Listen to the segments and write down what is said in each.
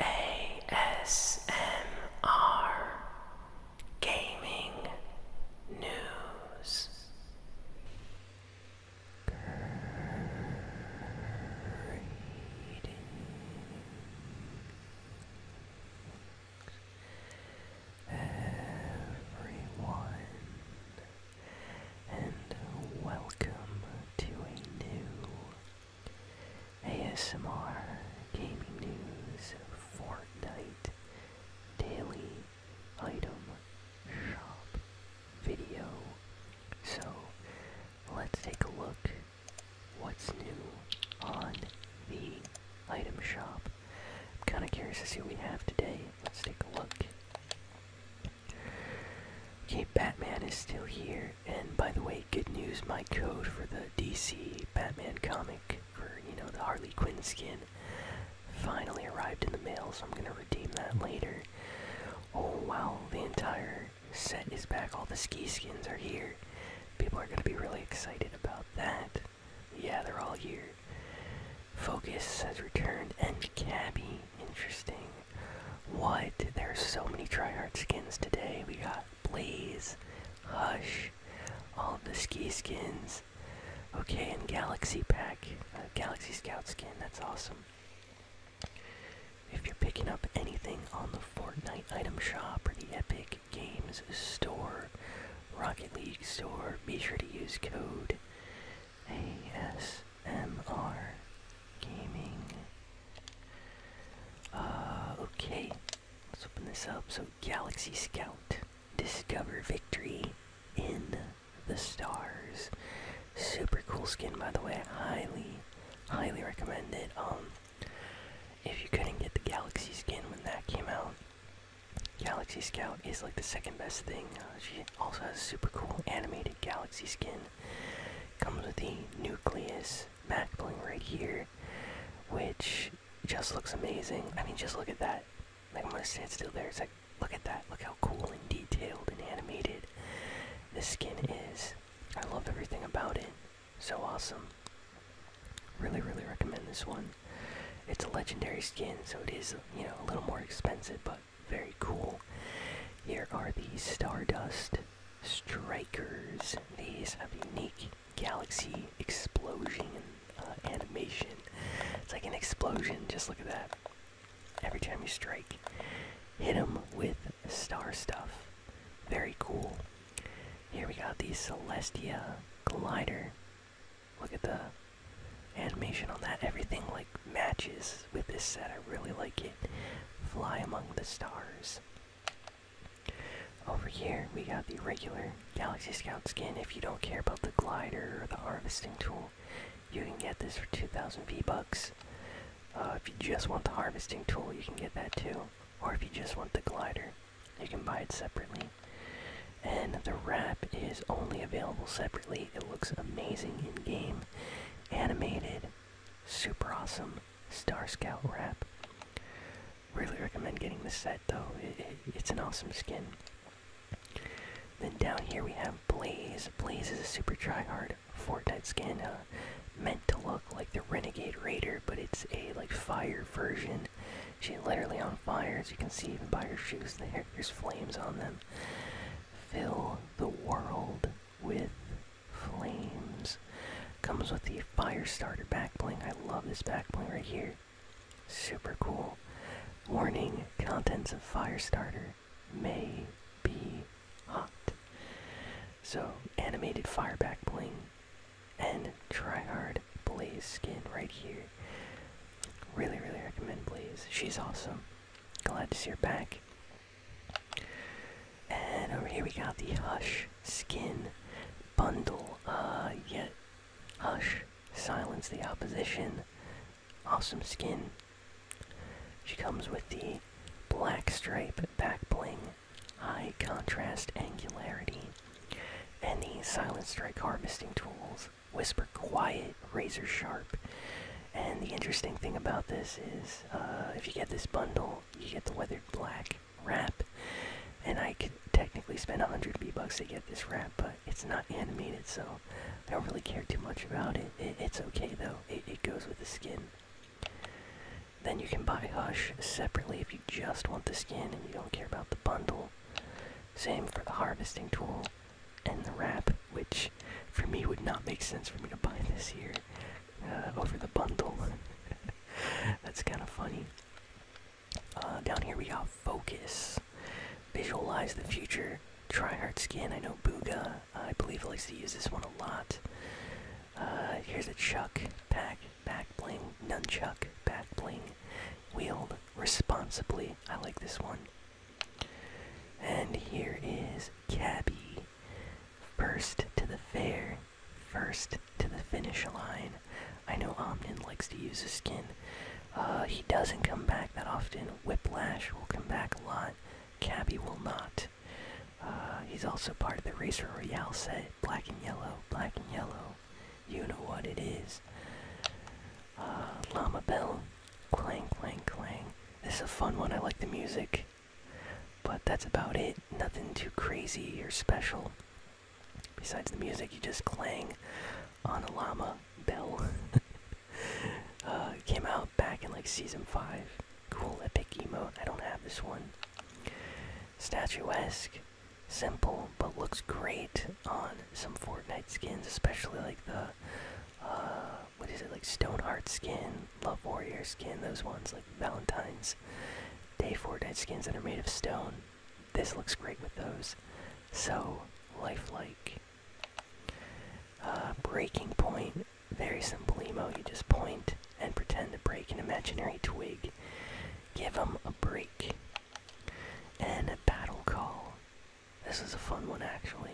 ASMR Gaming News everyone, and welcome to a new ASMR Gaming News Fortnite Daily item shop video. So let's take a look what's new on the item shop. I'm kind of curious to see what we have today. Let's take a look. Okay, Batman is still here, and by the way, good news, my code for the DC Batman comic for, you know, the Harley Quinn skin finally arrived in the mail, so I'm gonna redeem that later. Oh wow, the entire set is back. All the ski skins are here. People are going to be really excited about that. Yeah, they're all here. Focus has returned and Cabby. Interesting. What? There are so many tryhard skins today. We got Blaze, Hush, all the ski skins, Okay, and Galaxy Pack, uh, Galaxy Scout skin, that's awesome. If you're picking up anything on the Fortnite item shop or the Epic Games store, Rocket League store, be sure to use code ASMR Gaming. Uh, okay, let's open this up. So, Galaxy Scout. Discover victory in the stars. Super cool skin, by the way. Highly, highly recommend it. Um, if you couldn't get the Galaxy skin when that came out, Galaxy Scout is like the second best thing. Uh, she also has super cool animated Galaxy skin. Comes with the Nucleus Mac bling right here, which just looks amazing. I mean, just look at that. Like I'm gonna stand still there. It's like look at that. Look how cool and detailed and animated this skin is. I love everything about it. So awesome. Really, really recommend this one. It's a legendary skin, so it is you know a little more expensive, but very cool. Here are the Stardust Strikers. These have unique galaxy explosion uh, animation. It's like an explosion. Just look at that. Every time you strike, hit them with star stuff. Very cool. Here we got the Celestia glider. Look at the animation on that. Everything like matches with this set. I really like it. Fly among the stars. Over here, we got the regular Galaxy Scout skin. If you don't care about the glider or the harvesting tool, you can get this for 2,000 V-Bucks. Uh, if you just want the harvesting tool, you can get that too. Or if you just want the glider, you can buy it separately. And the wrap is only available separately. It looks amazing in-game. Animated, super awesome Star Scout wrap. Really recommend getting this set though. it's an awesome skin. Then down here we have Blaze. Blaze is a super try hard Fortnite skin, uh, meant to look like the Renegade Raider, but it's a like fire version. She's literally on fire, as you can see even by her shoes there. There's flames on them. Fill the world with flames. Comes with the fire starter back bling. I love this back bling right here. Super cool. Warning: contents of fire starter may be hot. So animated fire back bling and try hard Blaze skin right here. Really, really recommend Blaze. She's awesome. Glad to see her back. And over here we got the Hush skin bundle. Uh, yet hush, silence the opposition. Awesome skin. She comes with the black stripe back bling, high contrast angularity, and the silent strike harvesting tools. Whisper quiet, razor sharp. And the interesting thing about this is, uh, if you get this bundle, you get the weathered black wrap. And I could technically spend 100 V-Bucks to get this wrap, but it's not animated, so I don't really care too much about it. it it's okay, though. It, it goes with the skin. Then you can buy Hush separately if you just want the skin and you don't care about the bundle. Same for the harvesting tool and the wrap, which for me would not make sense for me to buy this year uh, over the bundle. That's kind of funny. Uh, down here we got focus. Visualize the future. Try hard skin. I know Buga. I believe likes to use this one a lot. Uh, here's a Chuck pack, back bling, nunchuck, back bling, wield responsibly. I like this one. And here is Cabby, first to the fair, first to the finish line. I know Omnin likes to use his skin. Uh, he doesn't come back that often. Whiplash will come back a lot. Cabby will not. Uh, he's also part of the Racer Royale set. Black and yellow, black and yellow. You know what it is. Uh, Llama Bell. Clang, clang, clang. This is a fun one. I like the music. But that's about it. Nothing too crazy or special. Besides the music, you just clang on a llama bell. Uh, came out back in like season 5. Cool epic emote. I don't have this one. Statuesque. Simple, but looks great on some Fortnite skins, especially like the. Uh, what is it like Stoneheart skin Love Warrior skin, those ones like Valentine's Day for Dead skins that are made of stone. This looks great with those. So lifelike. Uh, breaking point, very simple emo. You just point and pretend to break an imaginary twig. Give them a break. And a battle call. This is a fun one actually.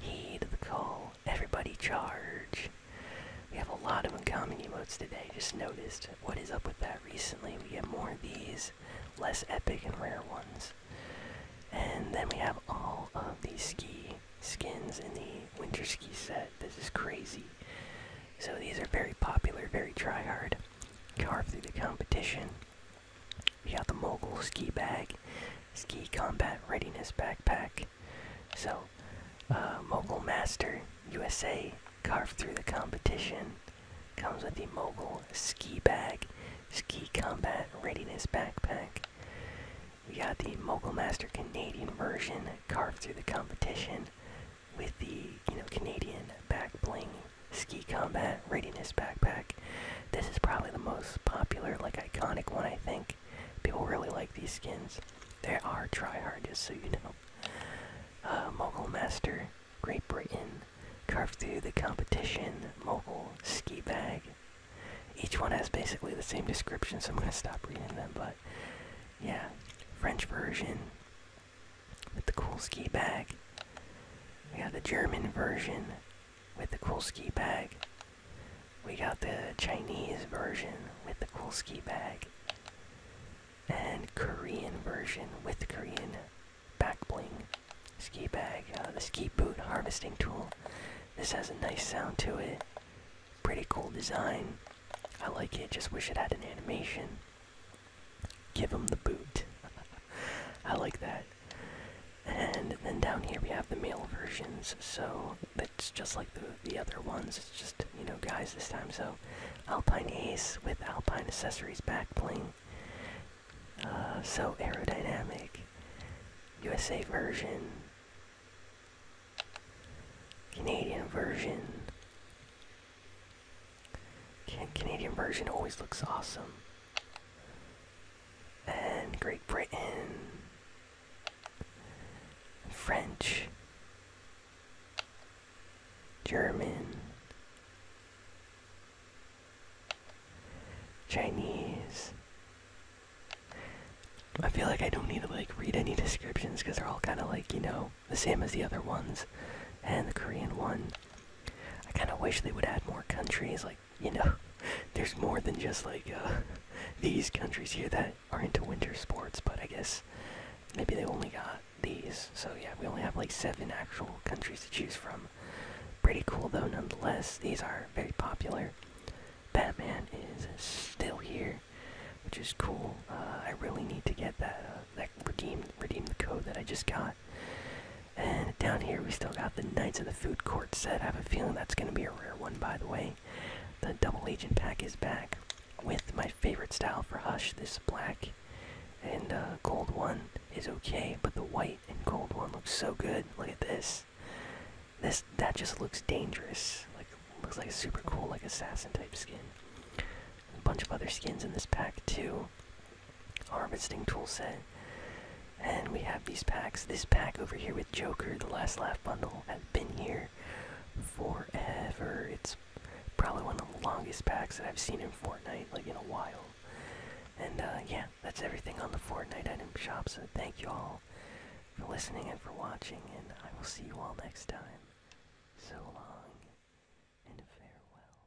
Heed the call. Everybody charge. We have a lot of uncommon emotes today, just noticed. What is up with that recently? We have more of these, less epic and rare ones. And then we have all of these ski skins in the winter ski set. This is crazy. So these are very popular, very try hard. Carve through the competition. We got the Mogul Ski Bag, Ski Combat Readiness Backpack, so, uh, Mogul Master USA carved through the competition. Comes with the Mogul Ski Bag, Ski Combat Readiness Backpack. We got the Mogul Master Canadian version carved through the competition with the you know Canadian back bling ski combat readiness backpack. This is probably the most popular, like iconic one I think people really like these skins. They are tryhard, just so you know. Uh, Mogul Master, Great Britain, carved Through the Competition, Mogul, Ski Bag. Each one has basically the same description, so I'm going to stop reading them, but yeah. French version with the cool ski bag. We have the German version with the cool ski bag. We got the Chinese version with the cool ski bag. And Korean version with the Korean back bling ski bag. Uh, the ski boot harvesting tool. This has a nice sound to it. Pretty cool design. I like it, just wish it had an animation. Give him the boot. I like that. And then down here we have the male versions, so it's just like the, the other ones, it's just, you know, guys this time. So Alpine Ace with Alpine Accessories back bling. Uh, so aerodynamic. USA version. Canadian version. Can Canadian version always looks awesome and Great Britain, French, German, Chinese. I feel like I don't need to like read any descriptions because they're all kind of like you know the same as the other ones, and the Korean one. I kind of wish they would add more countries like you know, there's more than just like uh, these countries here that are into winter sports, but I guess maybe they only got these. So yeah, we only have like seven actual countries to choose from. Pretty cool though, nonetheless. These are very popular. Batman is still here, which is cool. Uh, I really need to get that uh, that redeem redeem the code that I just got. And down here, we still got the Knights of the Food Court set. I have a feeling that's going to be a rare one, by the way. The Double Agent pack is back with my favorite style for Hush. This black and uh, gold one is okay, but the white and gold one looks so good. Look at this. This that just looks dangerous. Like looks like a super cool like assassin type skin. A bunch of other skins in this pack too harvesting tool set. And we have these packs. This pack over here with Joker, the Last Laugh bundle, have been here forever. It's probably one of the longest packs that I've seen in Fortnite, like in a while. And uh, yeah, that's everything on the Fortnite item shop. So thank you all for listening and for watching, and I will see you all next time. So long and farewell.